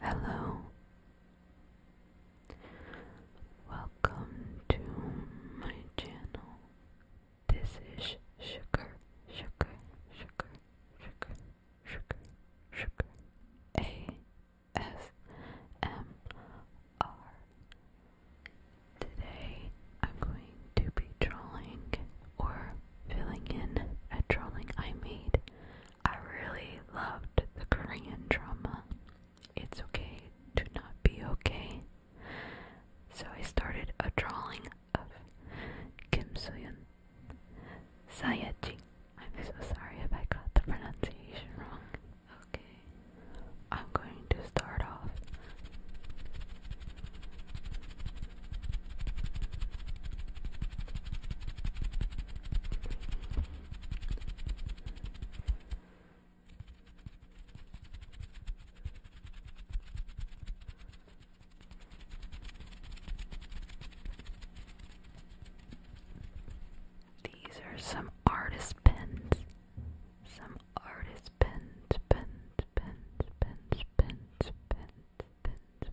Hello. Welcome to my channel. This is sugar, sugar, sugar, sugar, sugar, sugar. A S M R. Today I'm going to be drawing or filling in a drawing I made I really loved the Korean drama. It's okay to not be okay. So I started a drawing of Kim Soyun. Sayaji. I'm so sorry if I got the pronunciation wrong. Okay. I'm going to start off these are some artist pens. Some artist pins, pins, pins, pins, pins, pins, pins, pins,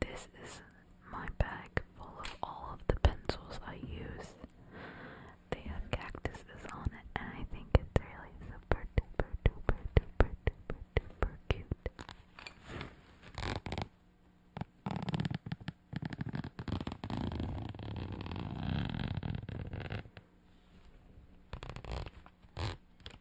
This is my bag full of all of the pencils I use. They have cactuses on it, and I think it's really super duper duper duper duper duper cute.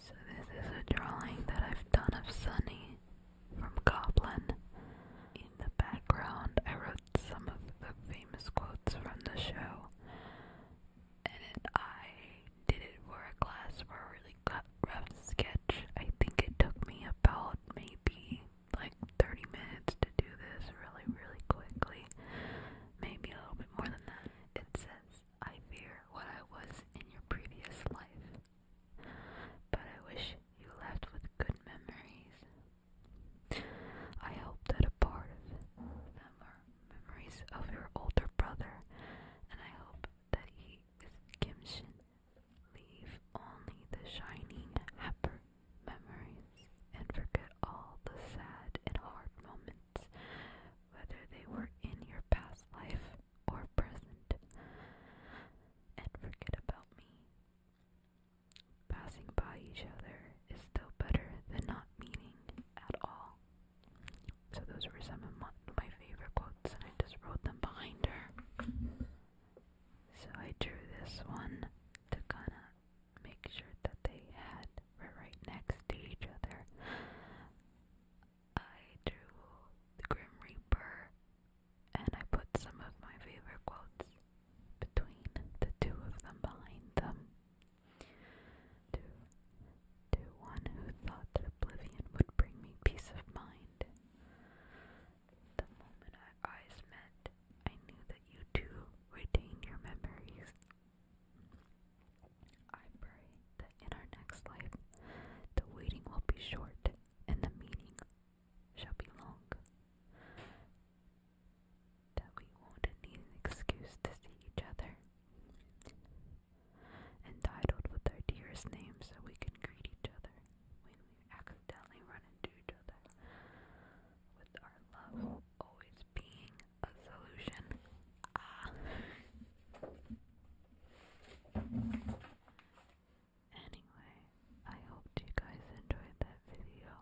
So, this is a drawing that I've done of Sunny from Goblin. In the background, I wrote some of the famous quotes from the show, and I did it for a class for a really rough sketch. I think it took me about maybe like 30 minutes to do this really, really quickly. Maybe a little bit more than that. It says, I fear what I was in your previous life, but I wish you left with good memories. I hope that a part of them memories of your older brother, and I hope that he is Kimshin. Leave only the shining, happy memories, and forget all the sad and hard moments, whether they were in your past life or present, and forget about me. Passing by each other is still better than not meaning at all. So, those were some of my, favorite quotes, and I just wrote them behind her. So, I drew this one to kind of make sure that they had right next to each other. I drew the Grim Reaper and I put some of my favorite quotes between the two of them behind them. To, one who thought that oblivion would bring me peace of mind. The moment our eyes met, I knew that you too retain your memories. I pray that in our next life, the waiting will be short and the meeting shall be long, that we won't need an excuse to see each other. Entitled with our dearest names so we can greet each other when we accidentally run into each other, with our love always being a solution. Ah. Anyway, I hope you guys enjoyed that video.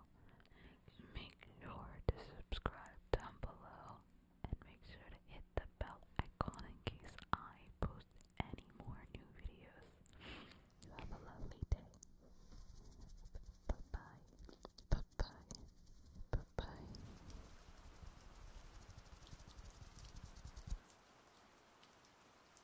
Make sure to subscribe down below and make sure to hit the bell icon in case I post any more new videos. You have a lovely day. Bye-bye. Bye-bye. Bye-bye.